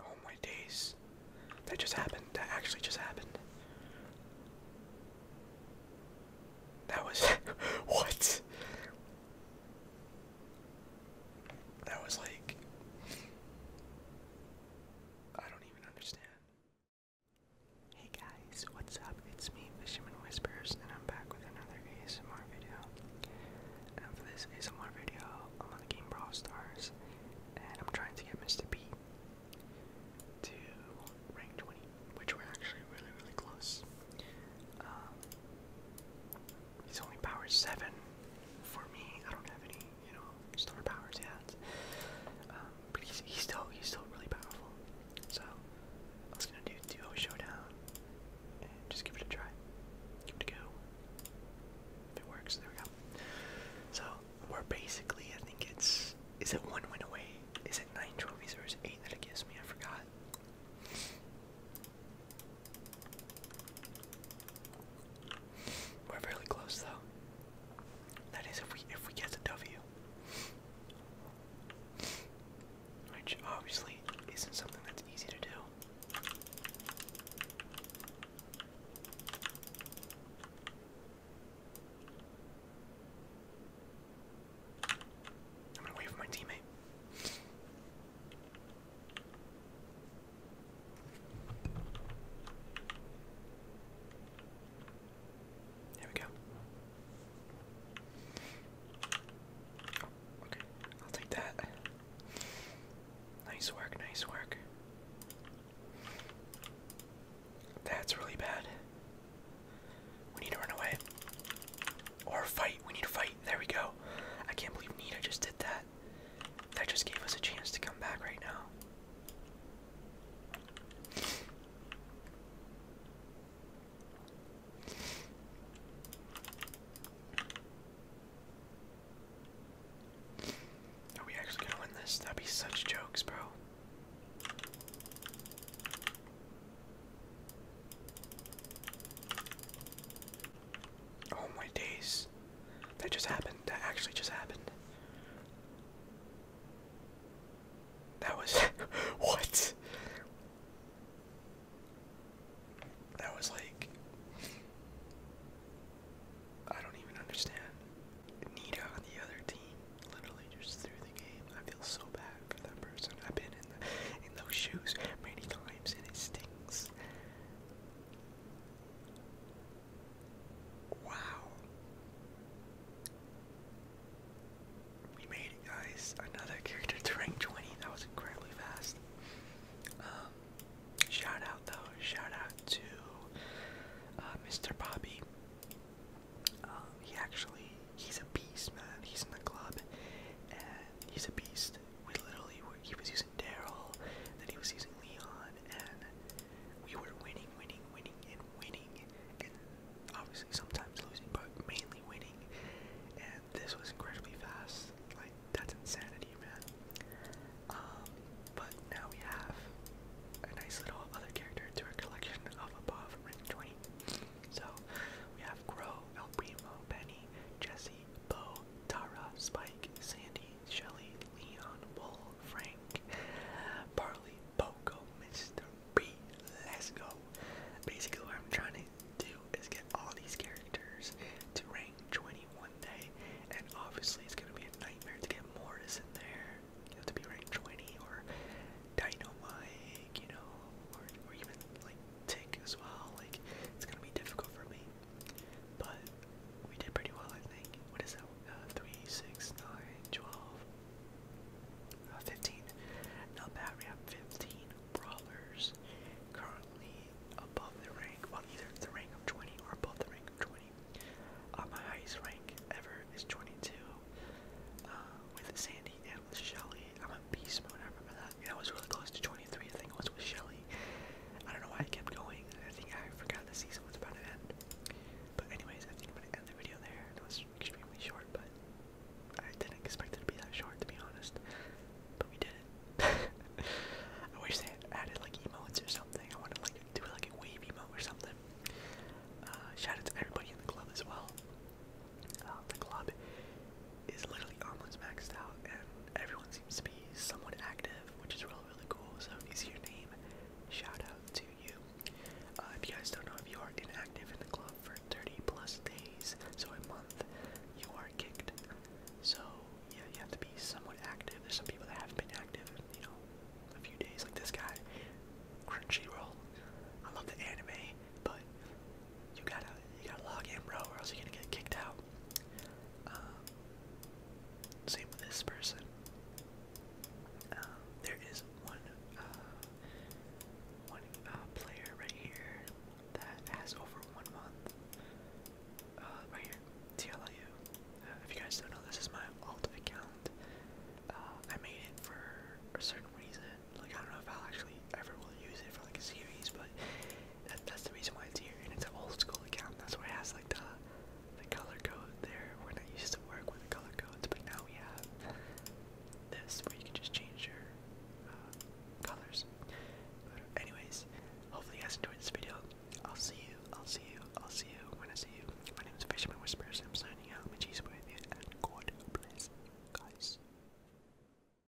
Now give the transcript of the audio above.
Oh my days. That just happened. That actually just happened. That was. what? That was like. I don't even understand. Hey guys, what's up? It's me, Fisherman Whispers, and I'm back with another ASMR video. And for this ASMR video, I'm on the game Bro Stars, and I'm trying to get Mr. B to rank 20, which we're actually really, really close. Um, He's only power 7 for me. I don't have any, you know, star powers yet. Um, but he's, he's still he's still really powerful. So I was gonna do duo showdown and just give it a try. Give it a go. If it works, there we go. So we're basically I think it's is it one win away? Is it nine trophies or is it eight that it gives me? I forgot. We're fairly close though. That is if we if we get the W. Which obviously isn't something that's easy to do. I'm gonna wait my teammate. There we go. okay, I'll take that. Nice work, nice work. That's really bad. We need to run away. Or fight. We need to fight. There we go. I can't believe Nita just did that that. just gave us a chance to come back right now. Are we actually gonna this? That'd be such jokes, bro. Oh my days. That just happened. That actually just happened. That was what? That was like I don't even understand. Nita on the other team literally just threw the game. I feel so bad for that person. I've been in the, in those shoes many times and it stings. Wow. We made it, guys. Another character to rank 20. That was incredibly fast. Um, shout out, though. Shout out to uh, Mr. Bobby. Um, he actually, he's a beast, man. He's in the club, and he's a beast we literally were, he was using Daryl, then he was using Leon, and we were winning, winning, winning, and winning, and obviously sometimes losing, but mainly winning. And this was incredibly fast. Like that's insanity, man. Um, but now we have a nice little other character to our collection of above rank 20. So we have Grow, El Primo, Penny, Jesse, Bo, Tara, Spike, Sandy, Shelly, Leon, Wool, Frank, Barley, Poco, Mr. B. Let's go. Basically, what I'm trying to do is get all these characters to rank 20 one day, and obviously, it's gonna be a nightmare to get Mortis in there. You have to be ranked 20 or Dynamite, you know, or even like Tick as well. Like, it's gonna be difficult for me. But we did pretty well, I think. What is that? Uh, 3, 6, 9, 12, uh, 15. Not bad, we have 15 brawlers currently above the rank, well, either the rank of 20 or above the rank of 20. Uh, my highest rank ever is 22 uh, with Sandy and with Shelly. I'm on beast mode, I remember that. And I was really close to 23, I think it was with Shelly. I don't know why I kept going. I think I forgot the season was about to end. But anyways, I think I'm gonna end the video there. It was extremely short, but I didn't expect it to be that short, to be honest. But we did it. I wish they had added like emotes or something. I wanted like do like a wavy emote or something. Uh, shout out to everybody in the club as well. Uh, the club is literally almost maxed out, and everyone seems to be somewhat active, which is really really cool. So if your name, shout out to you. Uh, if you guys don't know, if you are inactive in the club for 30 plus days, so a month, you are kicked. So yeah, you have to be somewhat active. There's some people that haven't been active, in, you know, a few days, like this guy, Crunchyroll. I love the anime, but you gotta you gotta log in, bro, or else you're gonna get kicked out. Um, same with this person. Um, there is one, uh, one uh, player right here that has over one month. Uh, right here, TLU. if you guys don't know, this is my alt account. I made it for a certain reason. Like I don't know if I'll actually ever will use it for like a series, but that, that's the reason why it's here, and it's an old school account. That's why it has like the the color code there. We're not used to work with the color codes, but now we have this where you can just change your uh, colors. But anyways, hopefully you guys enjoyed this video. I'll see you. I'll see you. I'll see you when I see you. My name is Fisherman Whispers. I'm signing out. My cheese with you, and God bless, guys.